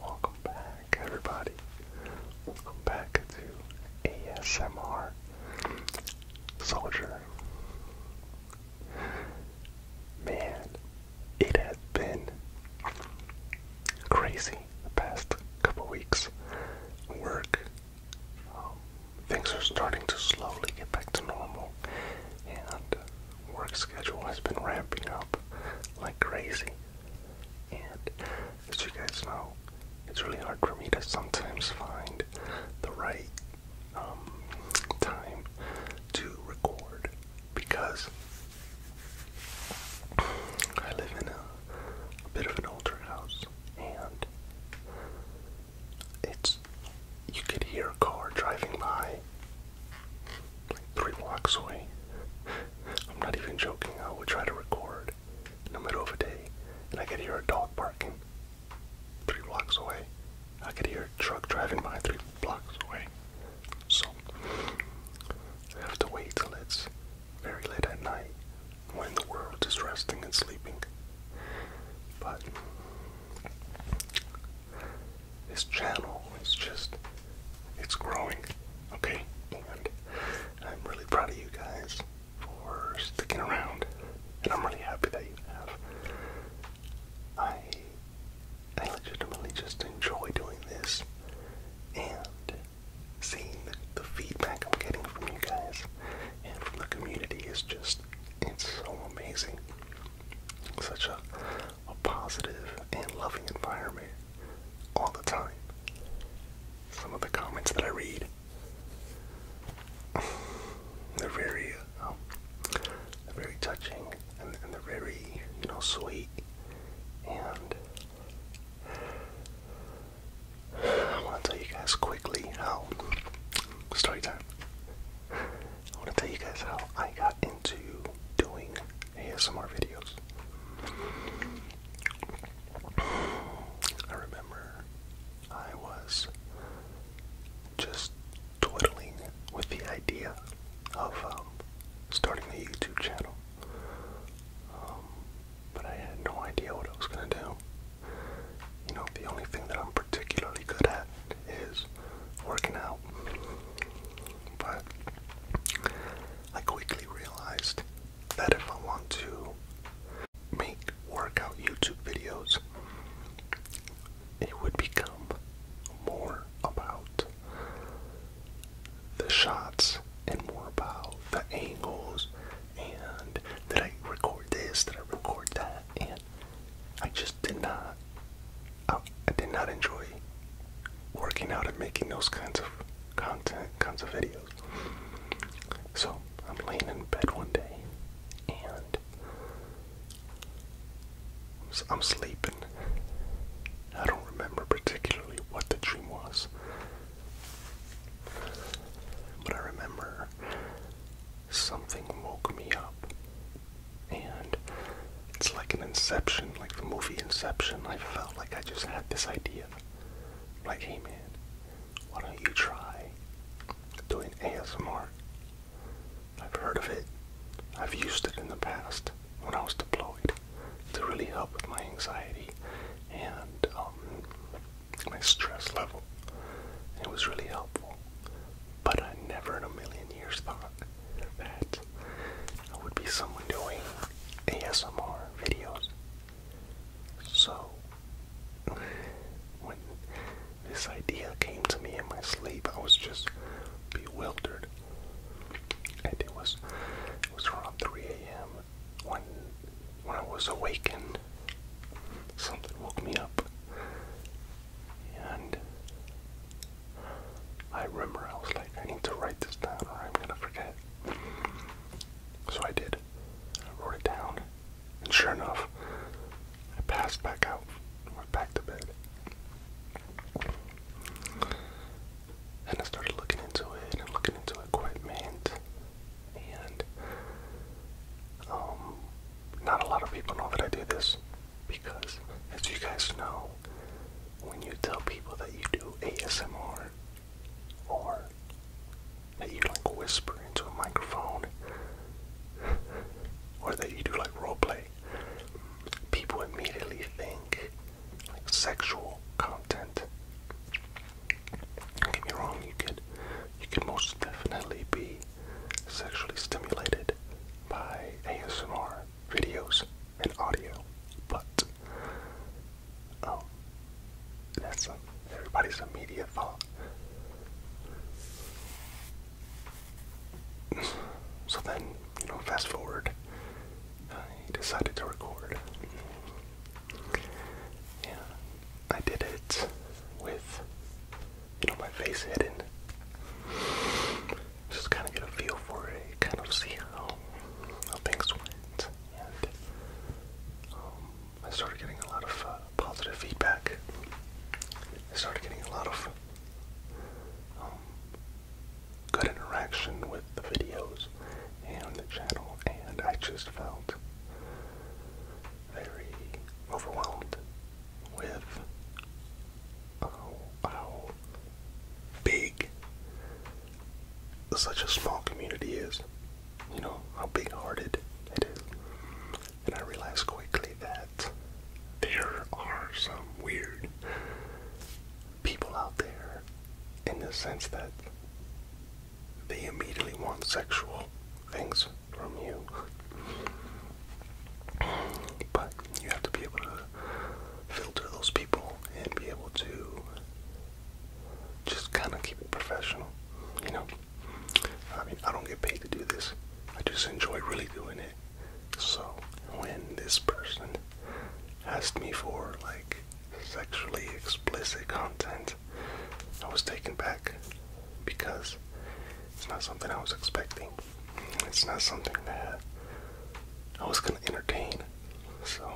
Welcome back, everybody. Welcome back to ASMR Soldier. Man, it has been crazy the past couple weeks. Work, um, things are starting to slowly get back to normal, and uh, work schedule has been ramping up like crazy. And as you guys know, it's really hard for me to sometimes find the right um, time to record because I live in a, bit of an older house, and it's you could hear a car driving by like three blocks away. I'm not even joking. I would try to record in the middle of the day, and I could hear a dog barking three blocks away. I could hear a truck driving by three blocks away. So you have to wait till it's very late at night when the world is resting and sleeping. But this channel is just, it's growing, okay? And I'm really proud of you guys for sticking around. And I'm really happy that you have. I I legitimately just enjoy doing this and seeing the, the feedback I'm getting from you guys and from the community is just, it's so amazing. Such a, a positive and loving environment all the time. Some of the comments that I read, they're very, um, they're very touching and, they're very, you know, sweet. And I want to tell you guys quickly how story time. I want to tell you guys how I got into doing ASMR videos. I remember I was just twiddling with the idea of um, starting the YouTube channel. Um, but I had no idea what I was gonna do. You know, the only thing that I'm particularly good at is working out. But I quickly realized that if I want to make workout YouTube videos, it would become more about the shots and more about the angles and that I record this, that I record that, and I just did not, I, did not enjoy working out and making those kinds of content, kinds of videos. So I'm laying in bed one day and I'm sleeping. I don't remember particularly what the dream was. But I remember something woke me up. And it's like an inception, like the movie Inception. I felt like I just had this idea. Like, hey man, why don't you try doing ASMR? I've heard of it. I've used it in the past when I was deployed to really help with my anxiety and um, my stress level. It was really helpful. But I never in a million years thought that I would be someone doing ASMR videos. So, when this idea came to me in my sleep, I was just bewildered. And it was it was around 3 a.m. when when I was awakened. Something woke me up. And I remember I was like, I need to write this down or I'm gonna forget. So I did. I wrote it down. And sure enough, I passed back out and went back to bed. And I started looking into it and looking into equipment. And um, not a lot of people know that I do this because, as you guys know, when you tell people that you do ASMR or that you like whisper into a microphone or that you do like role play people immediately think like sexual content. Don't get me wrong, you can, you could most definitely be sexually stimulated by ASMR videos and audio, but um that's everybody's immediate thought. So then, you know, fast forward, I uh, decided to record. Yeah, I did it with, you know, my face hidden. Just kind of get a feel for it, kind of see how, how things went. And um, I started getting a lot of uh, positive feedback. I started getting a lot of um, good interaction with the videos and the channel, and I just felt very overwhelmed with uh, how big such a small community is. You know, how big hearted it is. And I realized quickly that there are some weird people out there in the sense that they immediately want sexual things from you. But you have to be able to filter those people and be able to just kind of keep it professional, you know? I mean, I don't get paid to do this. I just enjoy really doing it. So when this person asked me for like sexually explicit content, I was taken back because it's not something I was expecting. It's not something that I was gonna entertain. So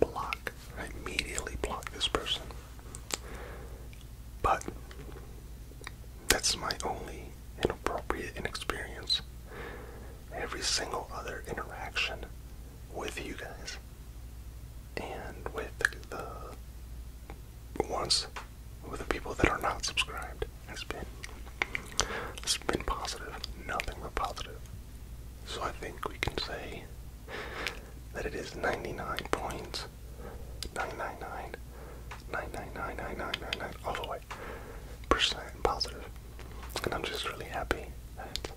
block. I immediately block this person. But that's my only inappropriate inexperience. Every single other interaction with you guys and with the, the ones with the people that are not subscribed has been has been positive, nothing but positive. So I think we can say that it is 99 points. 999, 999, all the way. Percent And I'm just really happy that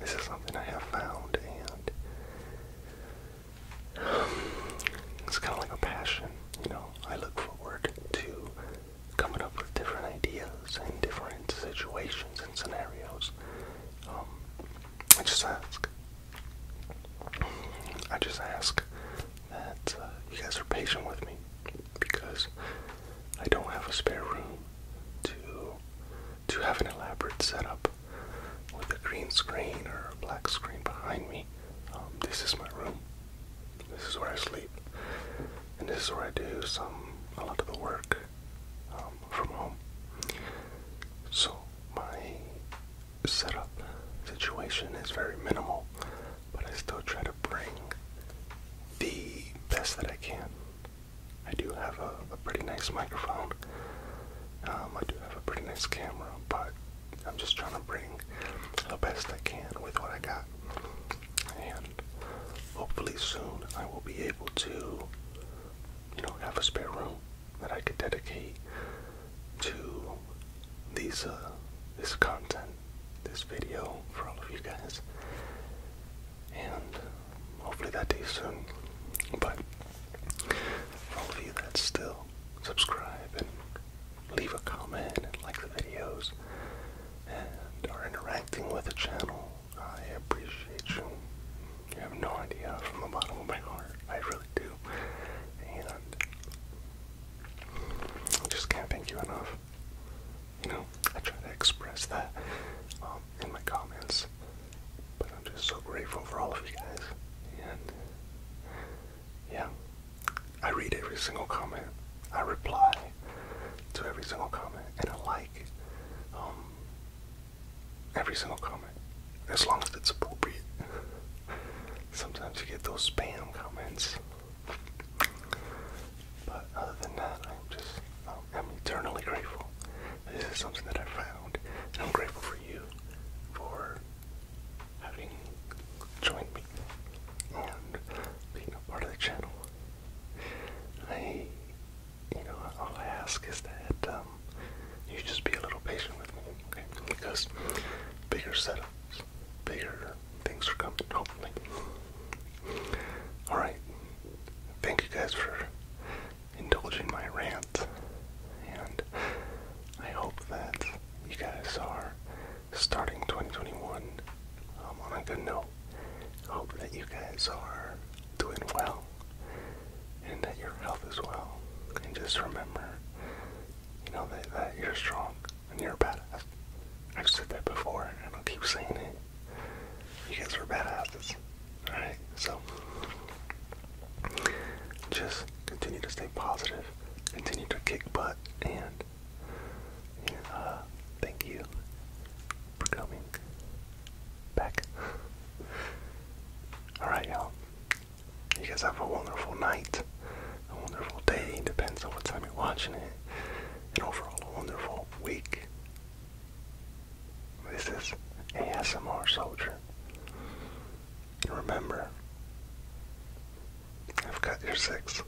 this is something I have found and it's kind of like a passion, you know. I look forward to coming up with different ideas and different situations and scenarios. I just ask. I just ask that uh, you guys are patient with me because I don't have a spare room to to have an elaborate setup with a green screen or a black screen behind me. Um, this is my room. This is where I sleep, and this is where I do some a lot of the work. Um, from home. So my setup situation is very minimal, but I still try to bring the best that I can. I do have a, pretty nice microphone. Um, I do have a pretty nice camera, but I'm just trying to bring the best I can with what I got. And hopefully soon I will be able to you know, have a spare room that I could dedicate to these uh, this content, this video for all of you guys. And hopefully that day soon. But for all of you that still subscribe and leave a comment and like the videos and are interacting with the channel, I appreciate you. You have no idea from the bottom of my heart. I really do. And I just can't thank you enough. You know, I try to express that um, in my comments, but I'm just so grateful for all of you guys. And yeah, I read every single comment, I reply to every single comment, and I like every single comment, as long as it's appropriate. Sometimes you get those spam comments, but other than that, I'm just um, I'm eternally grateful. This is something that I found, and I'm grateful for you for having joined me and being a part of the channel. I you know, all I ask is that um, you just be a little patient with me, okay? Because bigger setups, bigger things are coming, hopefully. Alright, thank you guys for indulging my rant, and I hope that you guys are starting 2021 um, on a good note. Hope that you guys are doing well and that your health is well. And just remember, you know, that, that you're strong and you're badass. I've said that before and I'll keep saying it. You guys are badasses. Alright, so just continue to stay positive, continue to kick butt, and, uh, thank you for coming back. Alright, y'all. You guys have a wonderful night, a wonderful day, depends on what time you're watching it, and overall, a wonderful week. This is a S.M.R. Soldier. remember, I've got your six.